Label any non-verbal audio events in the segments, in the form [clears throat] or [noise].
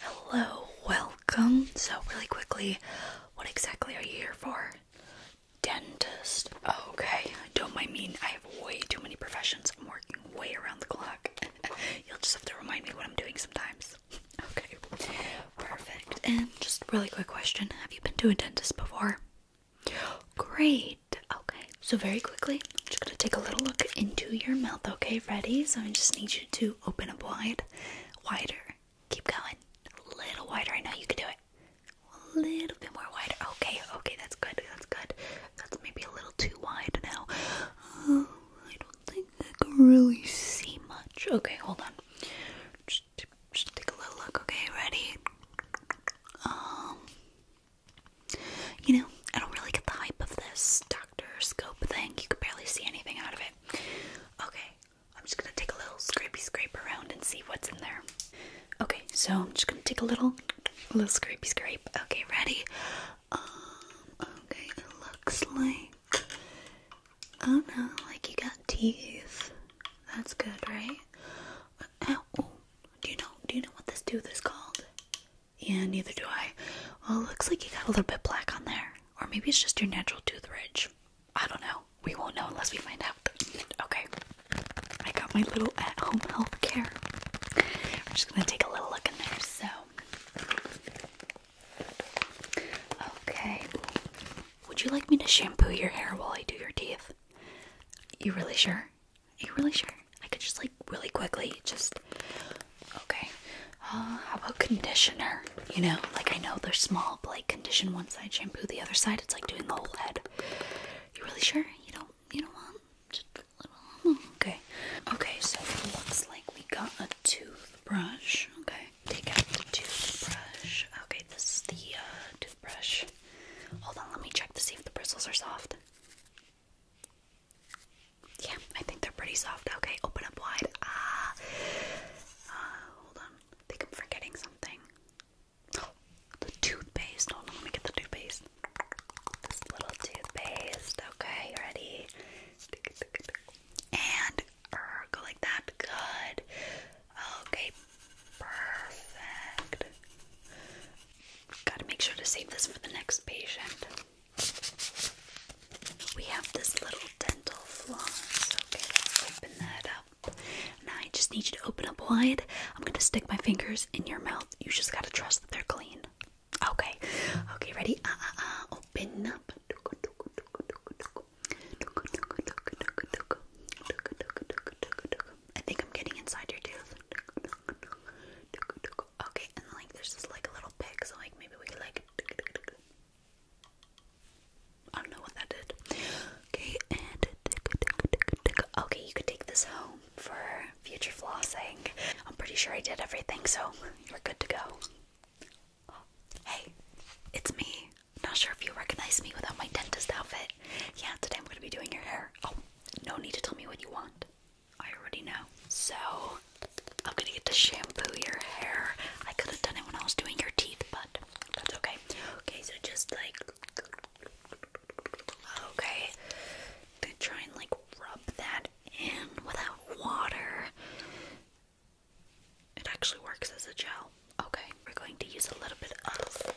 Hello, welcome. So, really quickly, what exactly are you here for? Dentist. Okay, don't mind me. I have way too many professions. I'm working way around the clock. [laughs] You'll just have to remind me what I'm doing sometimes. [laughs] Okay, perfect. And just really quick question Have you been to a dentist before? Great. Okay, so very quickly, I'm just gonna take a little look into your mouth. Okay, ready? So I just need you to open up wide, wider. Keep going. A little wider. I know you can do it. A little bit more wider. Okay, okay, that's good. That's good. That's maybe a little too wide now. Oh, I don't think I can really see much. Okay, hold on. Just, just take a little look. Okay, ready? Um, you know, I don't really get the hype of this doctor scope thing. You can barely see anything out of it. Okay, I'm just gonna take a little scrapey scrape around and see what's in there. Okay, so I'm just gonna take a little, a little scrapey scrape. Okay, ready? Um, okay, looks like, oh no, like you got teeth. That's good, right? Uh, Ow, oh, do you know, do you know what this tooth is called? Yeah, neither do I. Well, it looks like you got a little bit black on there. Or maybe it's just your natural tooth ridge. I don't know. We won't know unless we find out. Okay. I got my little at home health care. I'm just gonna take a little look in there. So, okay. Would you like me to shampoo your hair while I do your teeth? You really sure? Are you really sure? I could just like really quickly just okay. Uh, how about conditioner? You know, like I know they're small, but like condition one side, shampoo the other side. It's like doing the whole head. You really sure? You don't you don't want just a little okay. Okay, so it looks like we got a toothbrush. Okay. Take out the toothbrush. Okay, this is the uh, toothbrush. Hold on, let me check to see if the bristles are soft. Yeah, I think they're pretty soft. Okay, open up wide. Ah, uh, hold on. I think I'm forgetting something. [gasps] the toothpaste. Hold on, let me get the toothpaste. This little toothpaste. Okay, ready? And go like that. Good. Okay, perfect. Gotta make sure to save this for the next patient. We have this little dental floss. Okay, open that up. Now I just need you to open up wide. I'm gonna stick my fingers in your mouth. You just gotta trust that they're clean. Okay, okay, ready? Uh uh uh, open up. I think I'm getting inside your tooth. Okay, and like there's just like a little pig, so like maybe we could like. I don't know what that did. Okay, and okay, you could take this home for future flossing. I'm pretty sure I did everything, so you're good to go. hey, it's me. Not sure if you recognize me without my dentist outfit. Yeah, today I'm going to be doing your hair. Oh, no need to tell me what you want. I already know. So, I'm gonna get to shampoo your hair. I could have done it when I was doing your teeth, but that's okay. Okay, so just like. Okay. try and like rub that in without water. It actually works as a gel. Okay, we're going to use a little bit of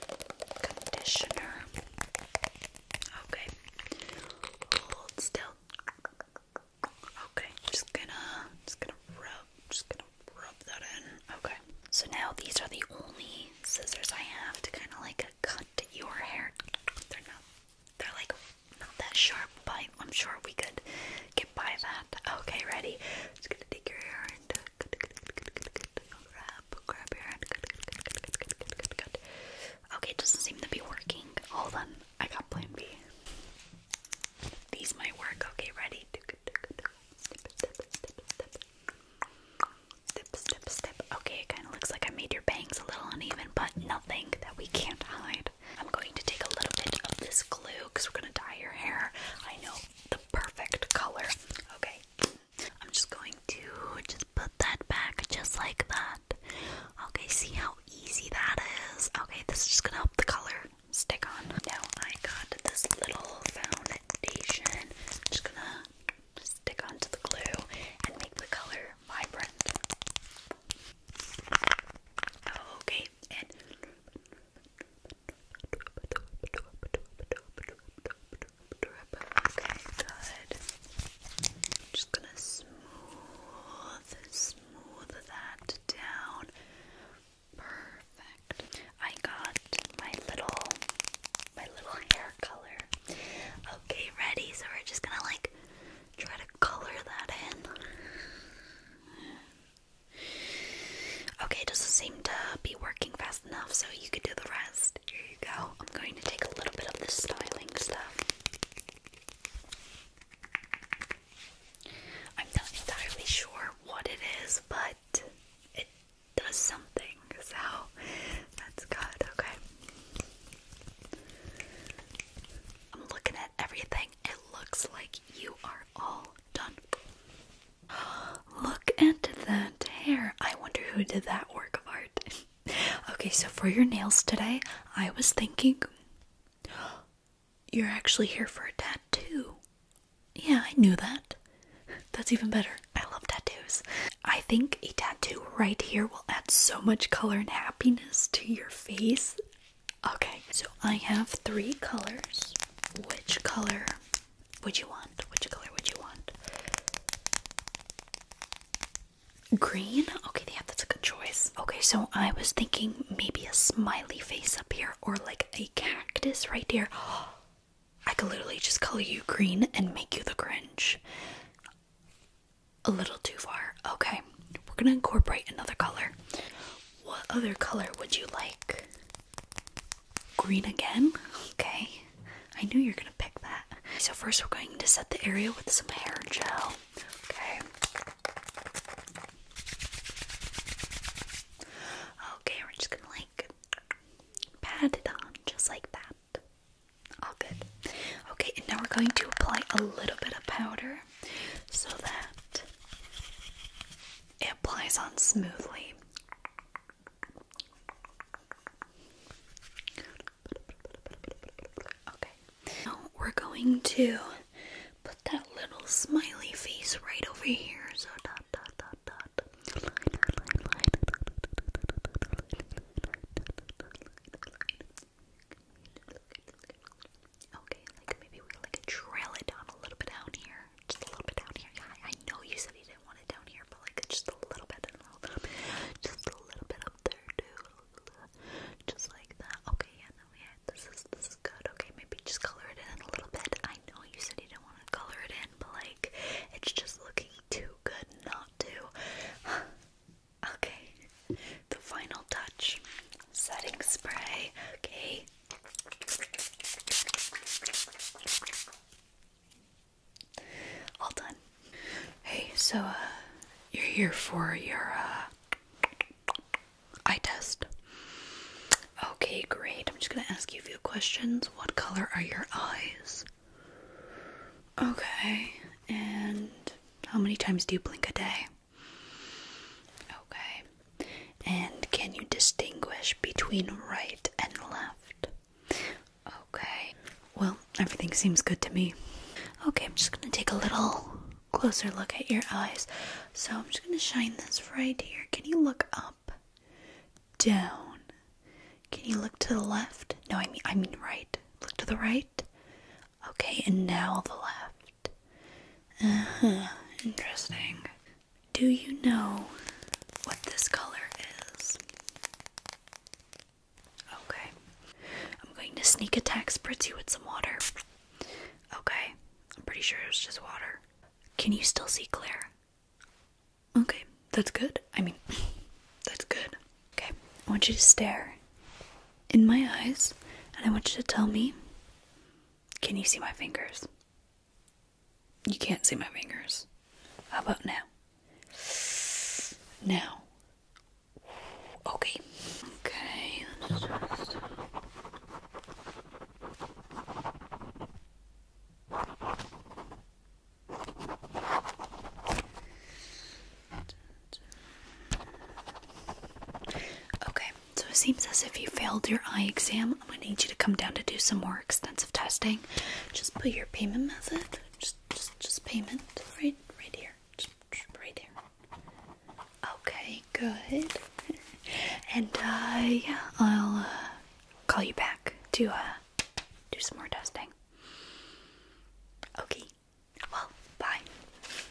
conditioner. Okay. Hold still. Okay. Just gonna just gonna rub just gonna rub that in. Okay. So now these are the only scissors I have to kinda like cut your hair. They're not they're like not that sharp, but I'm sure we could get by that. Okay, ready? Just gonna take your hair and grab, grab your hand. Good, good, good, good, good, good, good, good, good. Okay, it doesn't seem to be working. Hold on, I got plan B. These might work. Okay, ready? Step, step, step, step. Step, step, step. Okay, it kind of looks like I made your bangs a little uneven, but nothing that we can't hide. I'm going to take a little bit of this glue because we're going to dye your hair. I know the perfect color. Okay, I'm just going to just put that back just like that. Okay, see how easy that is? Okay, this is just gonna help the color stick on. Now I got this little foundation. I'm just gonna stick onto the glue and make the color vibrant. Okay, and drip, Okay, good. just gonna smooth, smooth that down. Perfect. I got my little, my little hair color. Okay, ready? So we're just gonna like try to color that in. Okay, it doesn't seem to be working fast enough so you can do the rest. Here you go. I'm going to take a little bit of the styling stuff. I'm not entirely sure what it is, but it does something, so that's good, okay? I'm looking at everything. It looks like you are all done. Look at that hair. I wonder who did that work of art. okay, so for your nails today, I was thinking you're actually here for a tattoo. Yeah, I knew that. That's even better. I love tattoos. I think a tattoo right here will add so much color and happiness to your face. Okay, so I have three colors. Which color would you want? Which color would you want? Green? Okay, yeah, that's a good choice. Okay, so I was thinking maybe a smiley face up here or like a cactus right there. [gasps] I could literally just color you green and make you the Grinch. A little too far. Okay, we're gonna incorporate another color. What other color would you like? green again. Okay, I knew you're gonna pick that. So first, we're going to set the area with some hair gel. Okay. Okay, we're just gonna like pat it on just like that. All good. Okay, and now we're going to apply a little bit of powder so that it applies on smoothly. Okay. Now we're going to put that little smiley face right over here. So dot dot dot dot. Line, line, line. Okay, like maybe we like trail it down a little bit down here just a little bit down here. Yeah, I know you said you didn't want it down here, but like just a little bit just a little bit up there too. Just like that. Okay, yeah, yeah, this is this is good. Okay, maybe just color it in a little bit. I know you said you didn't want to color it in, but like it's just looking too good not to. [sighs] okay, the final touch, setting spray. Okay, all done. Hey, so uh, you're here for your uh, eye test. Okay, great. I'm just gonna ask you a few questions. What color are your eyes? Okay, and how many times do you blink a day? Okay. And can you distinguish between right and left? Okay. Well, everything seems good to me. Okay, I'm just going to take a little closer look at your eyes. So I'm just going to shine this right here. Can you look up? Down. Can you look to the left? No, I mean I mean right. Look to the right. Okay, and now the left. Uh huh, interesting. Do you know what this color is? Okay. I'm going to sneak attack spritz with some water. Okay. I'm pretty sure it's just water. Can you still see Claire? Okay, that's good. I mean, [clears throat] that's good. Okay, I want you to stare in my eyes and I want you to tell me can you see my fingers? You can't see my fingers. How about now? Now. Okay. Okay. Okay. So it seems as if you failed your eye exam. I'm going to need you to come down to do some more extensive testing. Just put your payment method. Just, just, just payment right, right here. right here. Okay, good. [laughs] and uh, yeah, I'll uh, call you back to uh, do some more testing. Okay. Well, bye.